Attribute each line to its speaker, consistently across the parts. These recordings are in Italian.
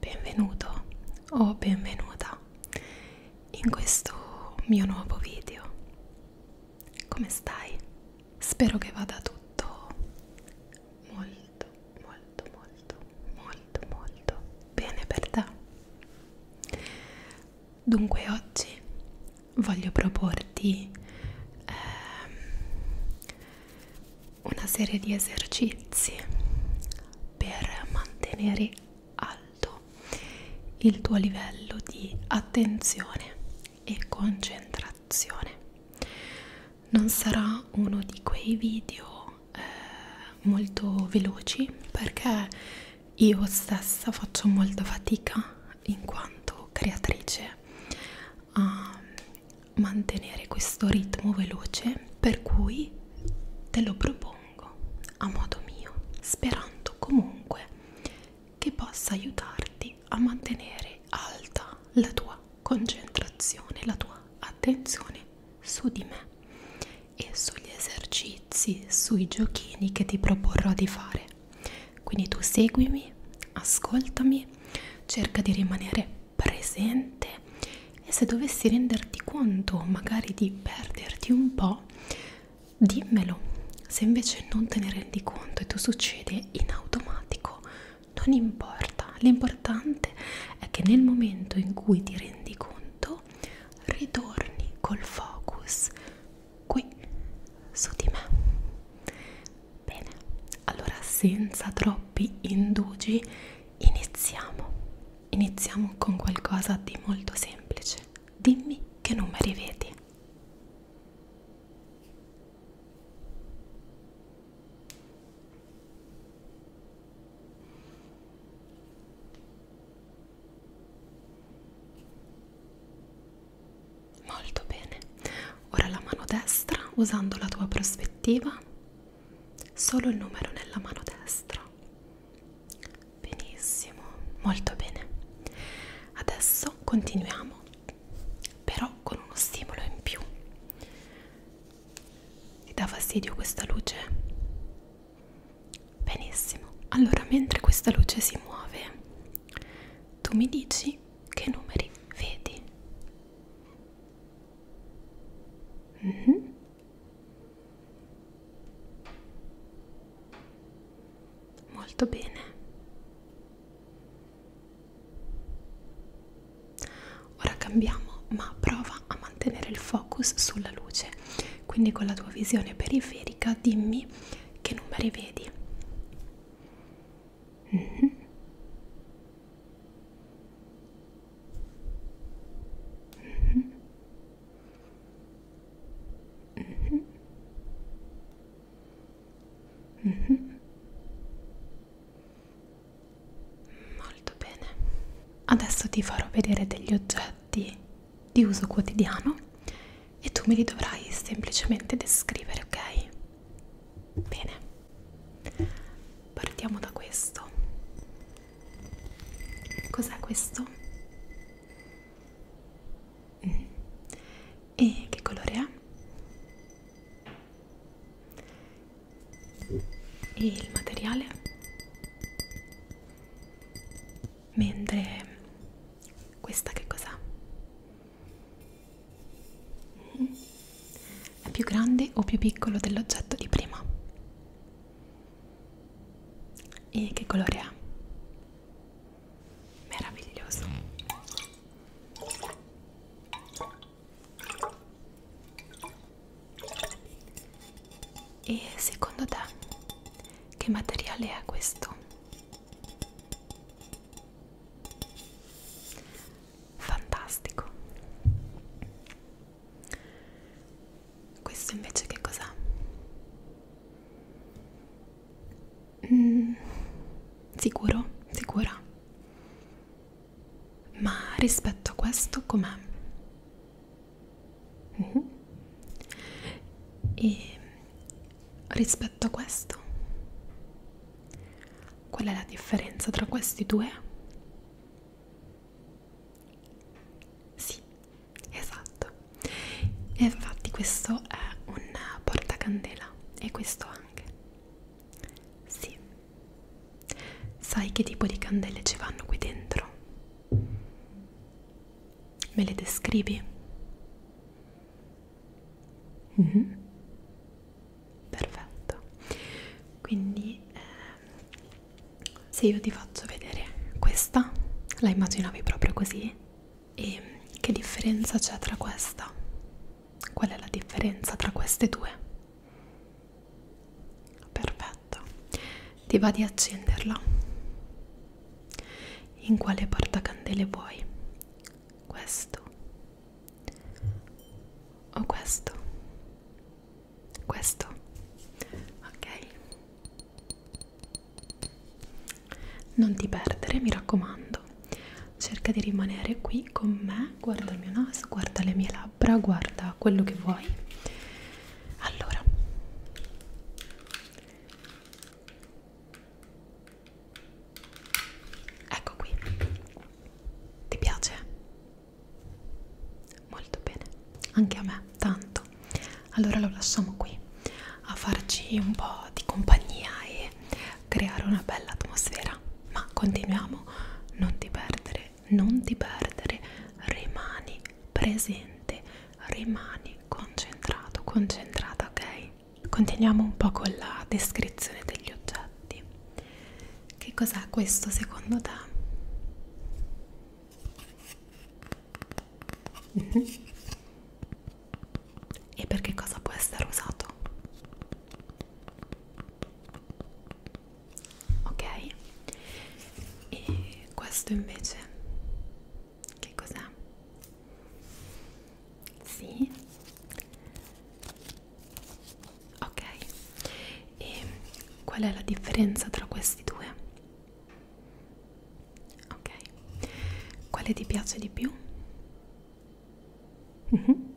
Speaker 1: Benvenuto o benvenuta in questo mio nuovo video. Come stai? Spero che vada tutto molto, molto, molto, molto, molto bene per te. Dunque oggi voglio proporti eh, una serie di esercizi per mantenere alto il tuo livello di attenzione e concentrazione. Non sarà uno di quei video eh, molto veloci perché io stessa faccio molta fatica in quanto creatrice a mantenere questo ritmo veloce per cui te lo propongo a modo mio sperando comunque che possa aiutarti a mantenere alta la tua concentrazione la tua attenzione su di me e sugli esercizi, sui giochini che ti proporrò di fare. Quindi tu seguimi, ascoltami, cerca di rimanere presente e se dovessi renderti conto magari di perderti un po', dimmelo. Se invece non te ne rendi conto e tu succede in automatico, non importa. L'importante è che nel momento in cui ti rendi conto ritorni col focus qui su di me bene allora senza troppi indugi iniziamo iniziamo con qualcosa di molto semplice dimmi che numeri vedi Molto bene, ora la mano destra usando la tua prospettiva, solo il numero nella mano destra. Benissimo, molto bene. Adesso continuiamo, però con uno stimolo in più. Ti dà fastidio questa luce? Benissimo, allora mentre questa luce si muove, tu mi dici che numeri vedi. Mm -hmm. Molto bene. Ora cambiamo, ma prova a mantenere il focus sulla luce quindi con la tua visione periferica dimmi che numeri vedi mm -hmm. Mm -hmm. Mm -hmm. Mm -hmm. Molto bene. Adesso ti farò vedere degli oggetti di uso quotidiano e tu me li dovrai semplicemente descrivere, ok? Bene, partiamo da questo. Cos'è questo? Mm. E che colore è? E il materiale? mentre questa che cos'ha? Mm-hmm. È più grande o più piccolo dell'oggetto di prima? E che colore ha? Meraviglioso. E secondo te che materiale è questo? Fantastico. Questo invece che cos'è? Mm, sicuro, sicura. Ma rispetto a questo com'è? Mm -hmm. E rispetto a questo, qual è la differenza tra questi due? Sì, esatto. E infatti questo è un portacandela e questo anche. Sì. Sai che tipo di candele ci vanno qui dentro? Me le descrivi? Mm -hmm. Perfetto. Quindi eh, se io ti faccio vedere questa, la immaginavi proprio così? E che differenza c'è tra questa? Qual è la differenza tra queste due? Perfetto, ti va di accenderla? In quale portacandele vuoi? Questo o questo? Questo? Ok. Non ti perdere, mi raccomando. Cerca di rimanere qui con me, guarda il mio naso, guarda le mie labbra, guarda quello che vuoi allora ecco qui ti piace? molto bene anche a me tanto allora lo lasciamo qui a farci un po' di compagnia e creare una bella atmosfera ma continuiamo non ti perdere non ti perdere, rimani presente, rimani concentrato, concentrata, ok? Continuiamo un po' con la descrizione degli oggetti. Che cos'è questo secondo te? Mm -hmm. E per che cosa può essere usato? ok e questo invece che cos'è? Sì. Ok. E qual è la differenza tra questi due? Ok. Quale ti piace di più? Mm -hmm.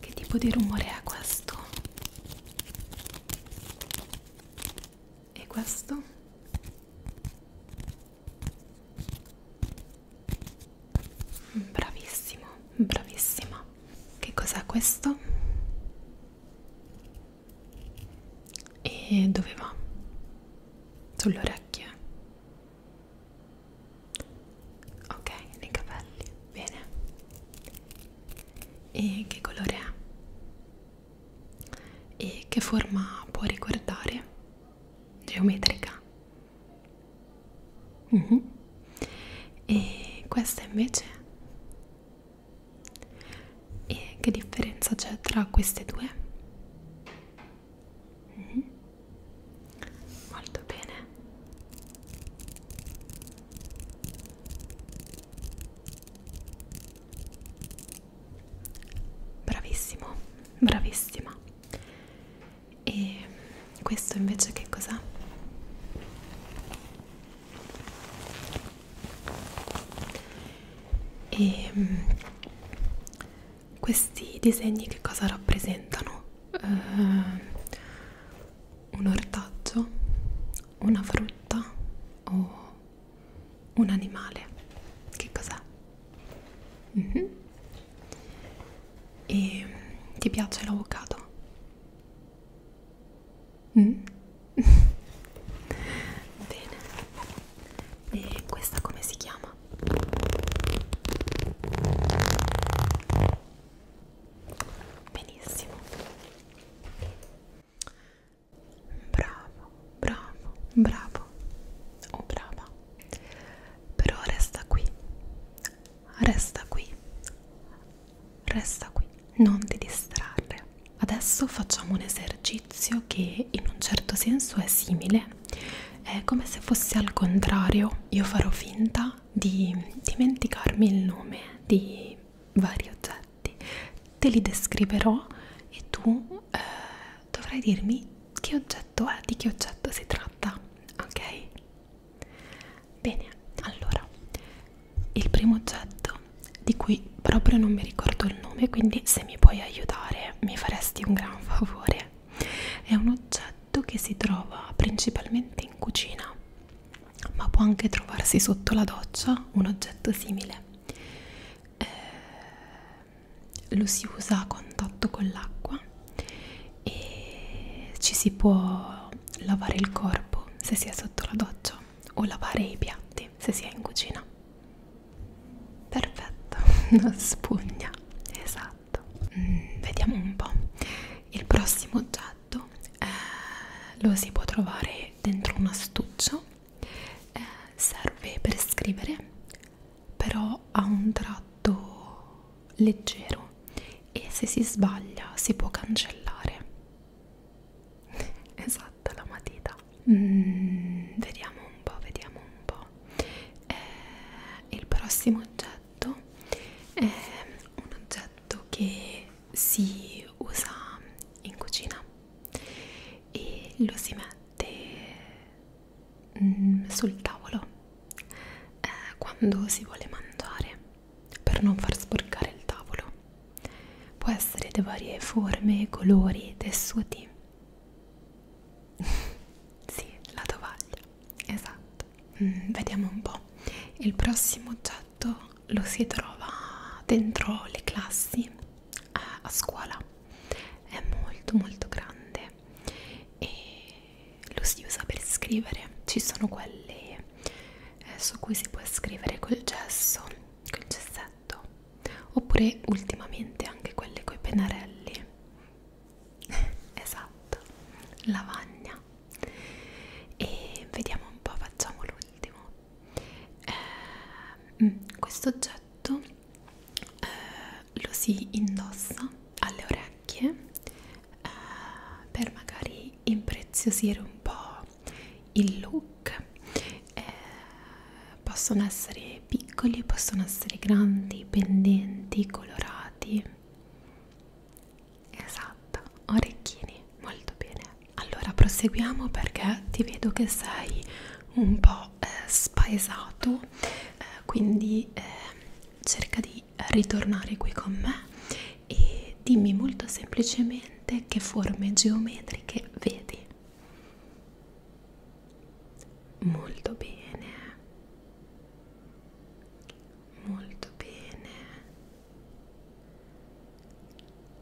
Speaker 1: Che tipo di rumore è questo? E questo? Bravissimo, bravissima. Che cos'è questo? E dove va? Sulle orecchie ok nei capelli bene e che colore è e che forma può ricordare geometrica mm -hmm. e questa invece e che differenza c'è tra queste due Mm -hmm. Molto bene. Bravissimo, bravissima. E questo invece che cos'ha? E ehm, questi disegni che cosa rappresentano? Eh, un ortaggio, una frutta o un animale? Che cos'è? Mhm. Mm -hmm. E ti piace l'avocado? Mm? Bene. E questa come si chiama? mamma benissimo bravo bravo bravo o oh, brava però resta qui resta qui resta qui non ti distrarre adesso facciamo un esercizio che in un certo senso è simile è come se fosse al contrario, io farò finta di dimenticarmi il nome di vari oggetti, te li descriverò e tu eh, dovrai dirmi che oggetto è, di che oggetto si tratta, ok? Bene, allora, il primo oggetto di cui proprio non mi ricordo il nome, quindi se mi puoi aiutare mi faresti un gran favore. È un oggetto che si trova principalmente in cucina, ma può anche trovarsi sotto la doccia un oggetto simile. Eh, lo si usa a contatto con l'acqua e ci si può lavare il corpo se si è sotto la doccia o lavare i piatti se si è in cucina. Perfetto, una spugna, esatto esatto mm, vediamo un po' il prossimo oggetto eh, lo si può trovare dentro un astuccio eh, serve per scrivere però ha un tratto leggero e se si sbaglia si può cancellare esatto la matita mm, vediamo un po' vediamo un po' eh, il prossimo oggetto oggetto è un oggetto che si usa in cucina e lo si mette mm, sul tavolo eh, quando si vuole mangiare per non far sporcare il tavolo può essere di varie forme colori tessuti sì la tovaglia esatto mm, vediamo un po' il prossimo oggetto lo si trova dentro le classi eh, a scuola è molto molto grande e lo si usa per scrivere ci sono quelli eh, su cui si può scrivere col gesso col gessetto oppure ultimamente anche quelli coi pennarelli esatto lavagna e vediamo un po' facciamo l'ultimo eh, questo oggetto eh, lo si indossa alle orecchie eh, per magari impreziosire un po' il look eh, possono essere piccoli, possono essere grandi, pendenti, colorati. Esatto, orecchini, molto bene. Allora proseguiamo perché ti vedo che sei un po' eh, spaesato, eh, quindi eh, cerca di ritornare qui con me e dimmi molto semplicemente che forme geometriche vedi molto bene molto bene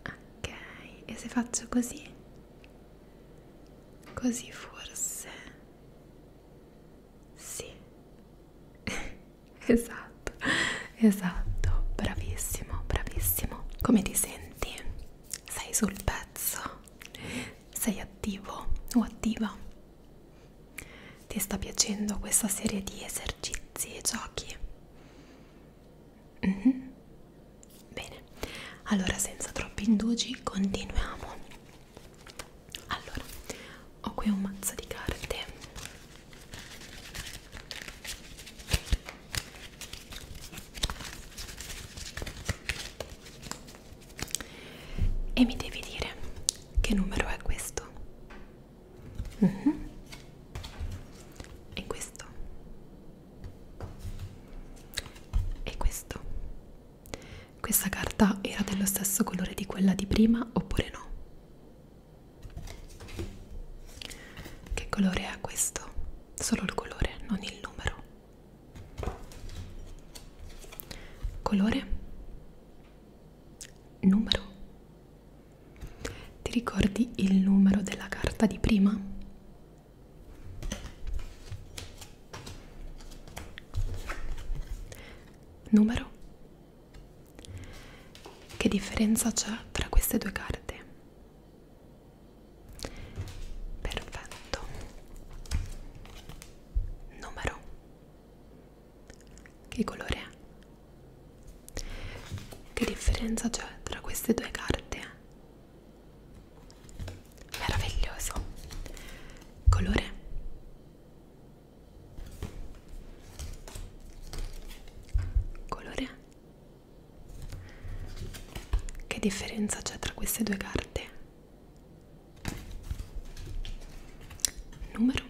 Speaker 1: ok e se faccio così così forse sì esatto esatto bravissimo bravissimo come ti senti sei sul pezzo sei attivo o attiva? Ti sta piacendo questa serie di esercizi e giochi? Mm -hmm. Bene, allora senza troppi indugi continuiamo. Allora, ho qui un mazzo di carte e mi devi dire che numero è questo mm -hmm. e questo e questo questa carta era dello stesso colore di quella di prima oppure no che colore è questo solo il colore non il numero colore numero ti ricordi il numero della carta di prima numero che differenza c'è tra queste due carte perfetto numero che colore è? che differenza c'è tra queste due carte? meraviglioso colore colore che differenza c'è tra queste due carte? numero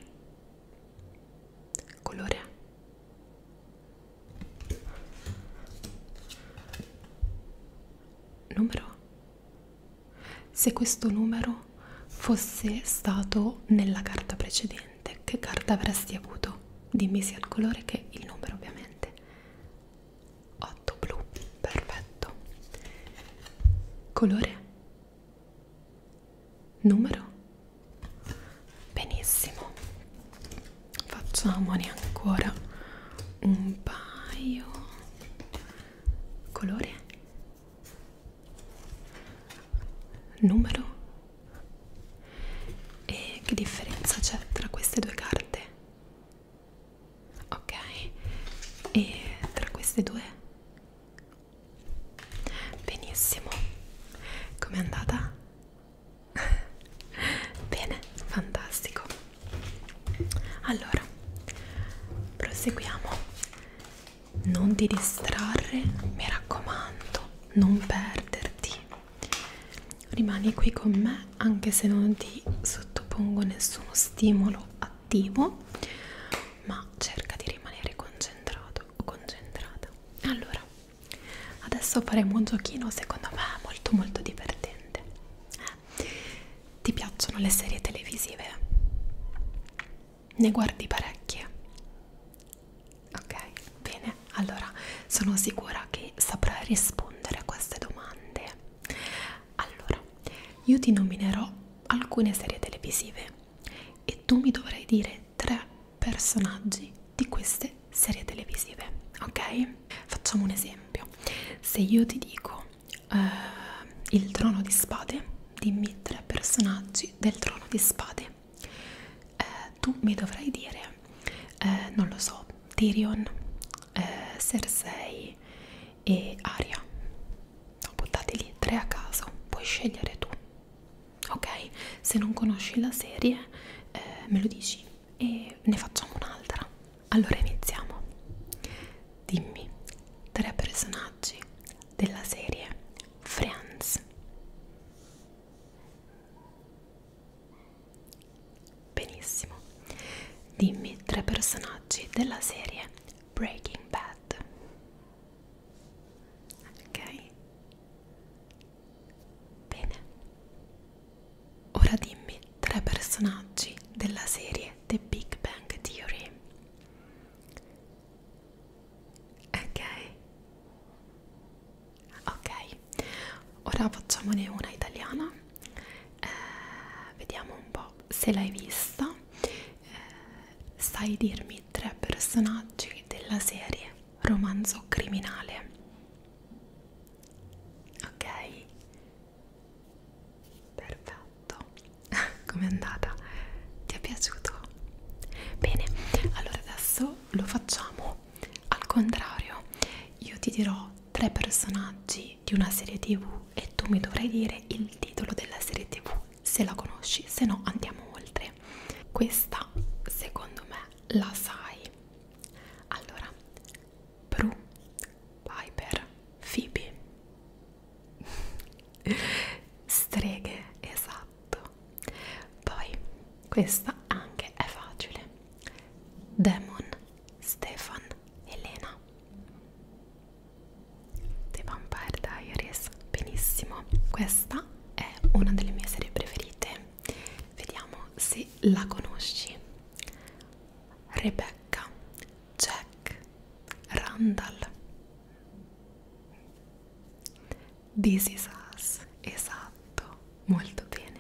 Speaker 1: colore numero se questo numero fosse stato nella carta precedente che carta avresti avuto dimmi sia il colore che il numero ovviamente 8 blu, perfetto. Colore? Numero? Benissimo. Facciamone ancora un paio. Colore? Numero? E che differenza c'è tra queste due carte? ok e tra queste due benissimo com'è andata? bene fantastico allora proseguiamo non ti distrarre mi raccomando non perderti rimani qui con me anche se non ti sottopongo nessuno stimolo attivo ma cerca di rimanere concentrato o concentrata allora adesso faremo un giochino secondo me molto molto divertente eh? ti piacciono le serie televisive? ne guardi parecchie? ok bene allora sono sicura che saprai rispondere a queste domande allora, io ti nominerò alcune serie televisive e tu mi dovrai dire tre personaggi di queste serie televisive, ok? Facciamo un esempio. Se io ti dico uh, il trono di spade, dimmi tre personaggi del trono di spade. Uh, tu mi dovrai dire, uh, non lo so, Tyrion, eh, Cersei e Aria. No, buttate lì tre a caso, puoi scegliere tu. Ok? Se non conosci la serie, eh, me lo dici e ne facciamo un'altra. Allora iniziamo. Dimmi tre personaggi della serie Friends. Benissimo. Dimmi tre personaggi della serie Breaking Bad. Ok. Bene. Ora dimmi tre personaggi della serie The Big Bang Theory. Ok. Ok. Ora facciamone una italiana eh, vediamo un po' se l'hai vista eh, sai dirmi tre personaggi della serie romanzo criminale ok perfetto com'è andata ti è piaciuto bene allora adesso lo facciamo al contrario io ti dirò tre personaggi di, di una serie tv e tu mi dovrai dire il titolo della serie tv se la conosci, se no andiamo oltre. Questa secondo me la sai. Allora, Prue, Piper, Phoebe. Streghe, esatto. Poi questa anche è facile. Demon, Stefan, Elena The Vampire Diaries, benissimo Questa è una delle mie serie preferite Vediamo se la conosci Rebecca, Jack, Randall This is us, esatto, molto bene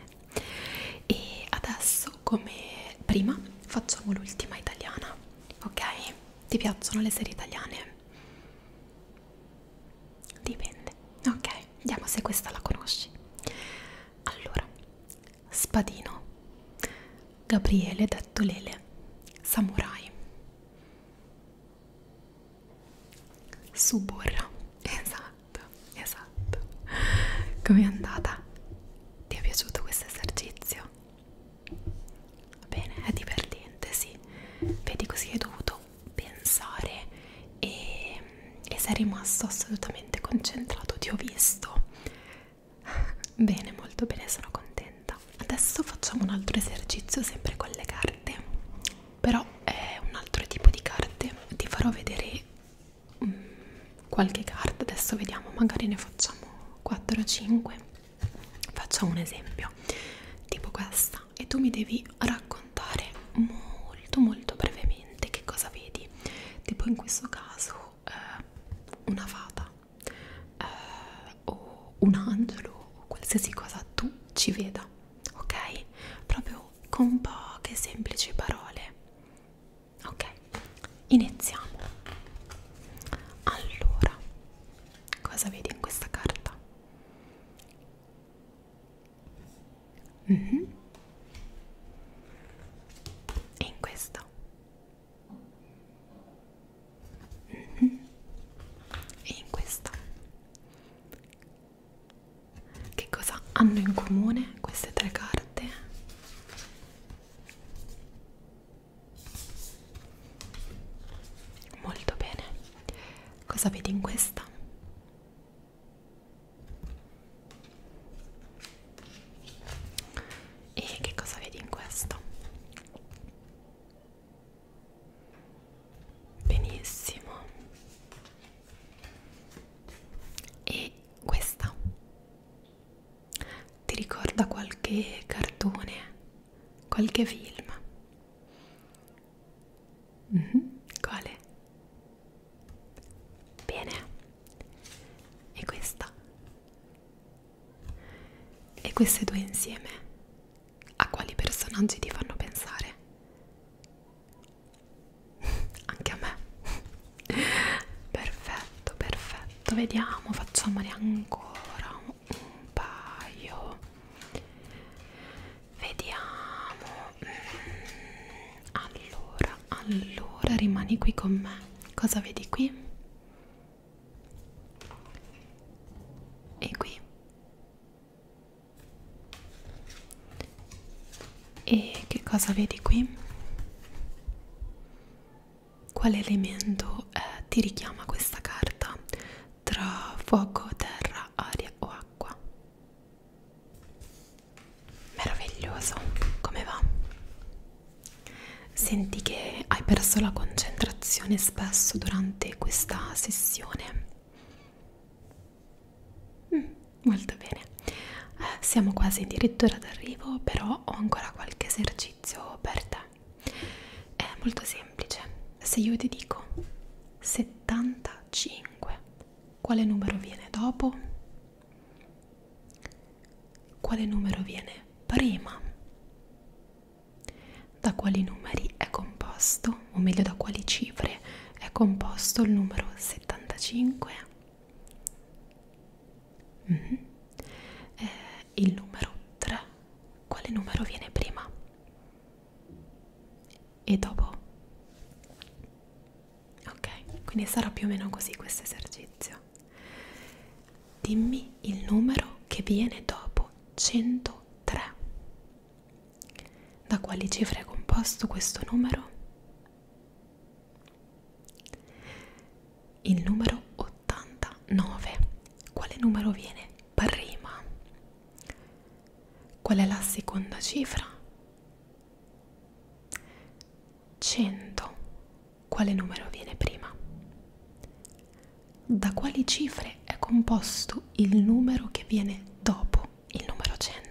Speaker 1: e adesso come prima facciamo l'ultima italiana ok ti piacciono le serie italiane dipende ok vediamo se questa la conosci allora spadino gabriele detto lele samurai Suburra, esatto esatto, esatto. Com'è andata? Ti è piaciuto questo esercizio? Bene, è divertente, sì. Vedi così hai dovuto pensare e, mm, e sei rimasto assolutamente concentrato, ti ho visto. Bene, molto bene, sono contenta. Adesso facciamo un altro esercizio sempre con le carte. Però è un altro tipo di carte. Ti farò vedere Mm, qualche carta adesso vediamo magari ne facciamo 4 o 5 facciamo un esempio tipo questa e tu mi devi raccontare molto molto brevemente che cosa vedi tipo in questo caso eh, una fata eh, o un angelo o qualsiasi cosa tu ci veda ok proprio con poche semplici parole ok iniziamo allora cosa vedi in questa carta mm -hmm. e in questa mm -hmm. e in questa che cosa hanno in comune queste tre carte? Molto bene. Cosa vedi in questa? E che cosa vedi in questo? Benissimo e questa ti ricorda qualche cartone qualche film mm -hmm. quale bene e questa e queste due insieme a quali personaggi ti fanno pensare anche a me perfetto perfetto vediamo facciamone ancora un paio vediamo mm. allora allora rimani qui con me cosa vedi qui e qui e che cosa vedi qui? Quale elemento eh, ti richiama questa carta tra fuoco, terra, aria o acqua? Meraviglioso, come va? Senti che hai perso la concentrazione spesso durante questa sessione? Mm, molto bene, eh, siamo quasi addirittura d'arrivo, però ho ancora qualche esercizio per te. È molto semplice, se io ti dico 75, quale numero viene dopo? Quale numero viene prima? Da quali numeri è composto, o meglio da quali cifre è composto il numero 75? Mm -hmm. eh, il numero 3, quale numero viene prima? E dopo? Ok, quindi sarà più o meno così questo esercizio. Dimmi il numero che viene dopo 103. Da quali cifre è composto questo numero? Il numero 89. Quale numero viene prima? Qual è la seconda cifra? 100. Quale numero viene prima? Da quali cifre è composto il numero che viene dopo il numero 100?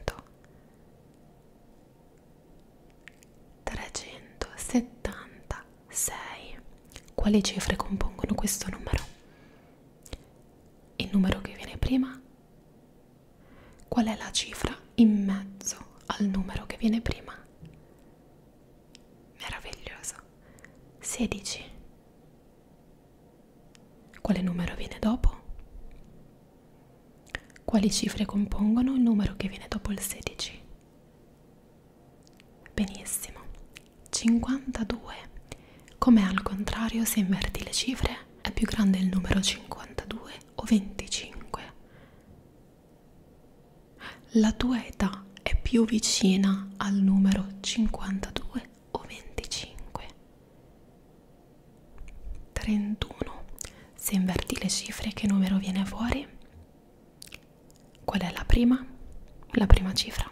Speaker 1: 376. Quali cifre compongono questo numero? Il numero che viene prima? Qual è la cifra in mezzo al numero che viene prima? Meraviglioso. 16. Quale numero viene dopo? Quali cifre compongono il numero che viene dopo il 16? Benissimo. 52. Come al contrario, se inverti le cifre, è più grande il numero 52 o 25? La tua età è più vicina al numero 52 o 25? 31 se inverti le cifre che numero viene fuori qual è la prima la prima cifra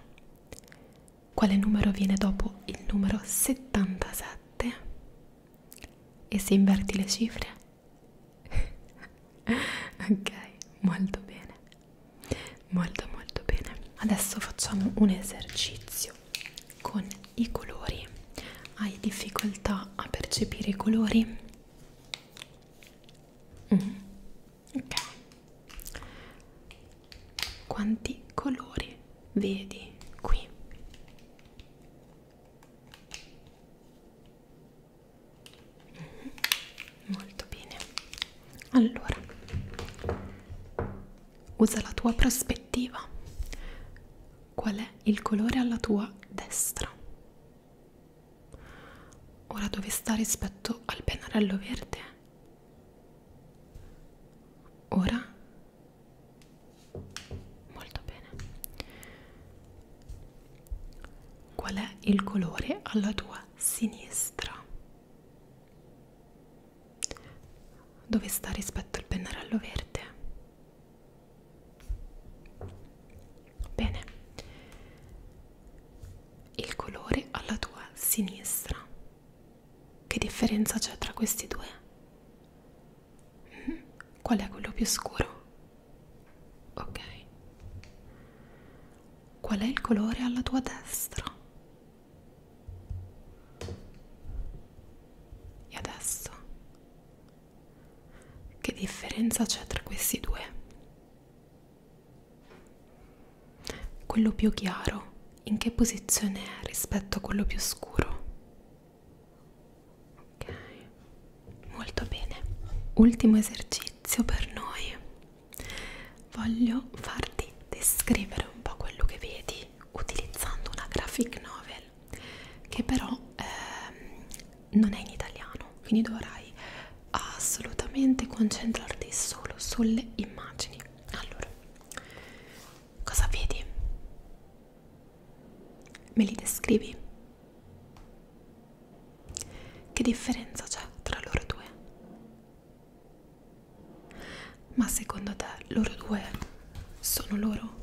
Speaker 1: quale numero viene dopo il numero 77 e se inverti le cifre ok molto bene molto molto bene adesso facciamo un esercizio con i colori hai difficoltà a percepire i colori mm. ok quanti colori vedi qui mm. molto bene allora usa la tua prospettiva. Qual è il colore alla tua destra? Ora dove sta rispetto al pennarello verde? Ora? Molto bene. Qual è il colore alla tua sinistra? Dove sta rispetto al pennarello verde? Bene. Il colore alla tua sinistra. Che differenza c'è tra questi due? Mhm. Qual è quello più scuro? Ok. Qual è il colore alla tua destra? E adesso? Che differenza c'è tra questi due? Quello più chiaro in che posizione è rispetto a quello più scuro? Ok, molto bene. Ultimo esercizio per noi. Voglio farti descrivere un po' quello che vedi libri utilizzando una graphic novel che però ehm, non è in italiano quindi dovrai assolutamente concentrarti solo sulle immagini allora cosa vedi? me li descrivi? che differenza c'è tra loro due? Ma secondo te loro due sono loro?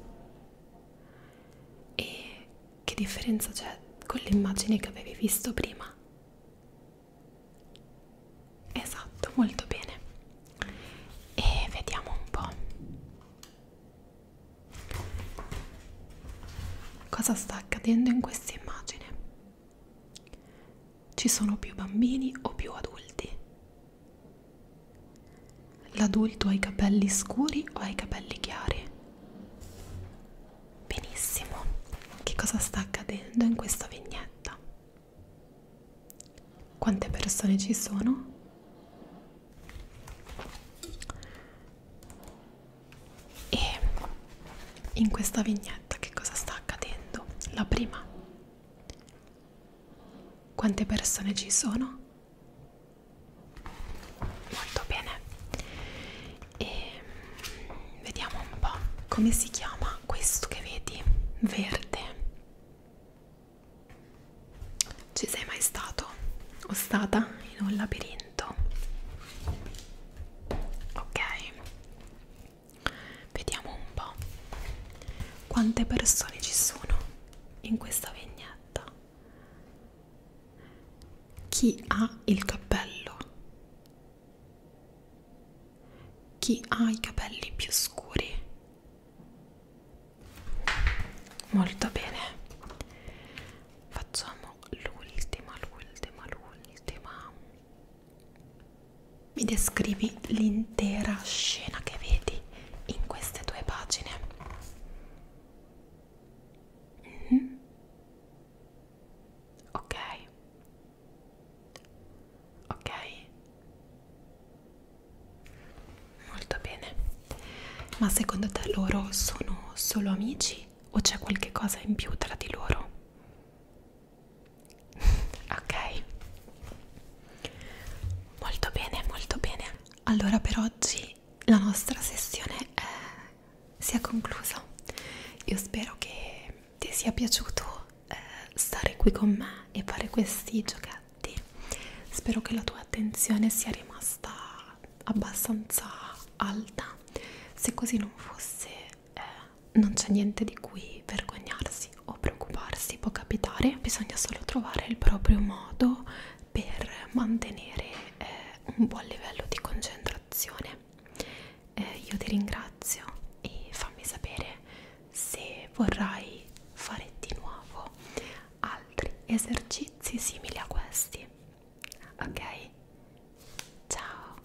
Speaker 1: E che differenza c'è con l'immagine che avevi visto prima? Esatto, molto bene. E vediamo un po'. Cosa sta accadendo in questa immagine? Ci sono più bambini o più adulti? L'adulto ha i capelli scuri o ha i capelli chiari? Benissimo, che cosa sta accadendo in questa vignetta? Quante persone ci sono? E in questa vignetta che cosa sta accadendo? La prima, quante persone ci sono? Molto bene. E mm, vediamo un po' come si chiama questo che vedi, verde. Ci sei mai stato o stata in un labirinto? Ok. Vediamo un po' quante persone ci sono in questa vignetta. Chi ha il cappello? Chi ha i capelli più scuri? Molto bene. Facciamo l'ultima, l'ultima, l'ultima mi descrivi l'intera scena che vedi in queste due pagine. Mm -hmm. Ok. Ok. Molto bene. Ma secondo te loro sono solo amici o c'è qualche cosa in più tra di loro? ok molto bene molto bene allora per oggi la nostra sessione è, si è conclusa io spero che ti sia piaciuto eh, stare qui con me e fare questi giochetti spero che la tua attenzione sia rimasta abbastanza alta se così non fosse eh, non c'è niente di cui vergognarsi o preoccuparsi può capitare, bisogna solo trovare il proprio modo per mantenere eh, un buon livello di concentrazione. Eh, io ti ringrazio e fammi sapere se vorrai fare di nuovo altri esercizi simili a questi. Ok? Ciao!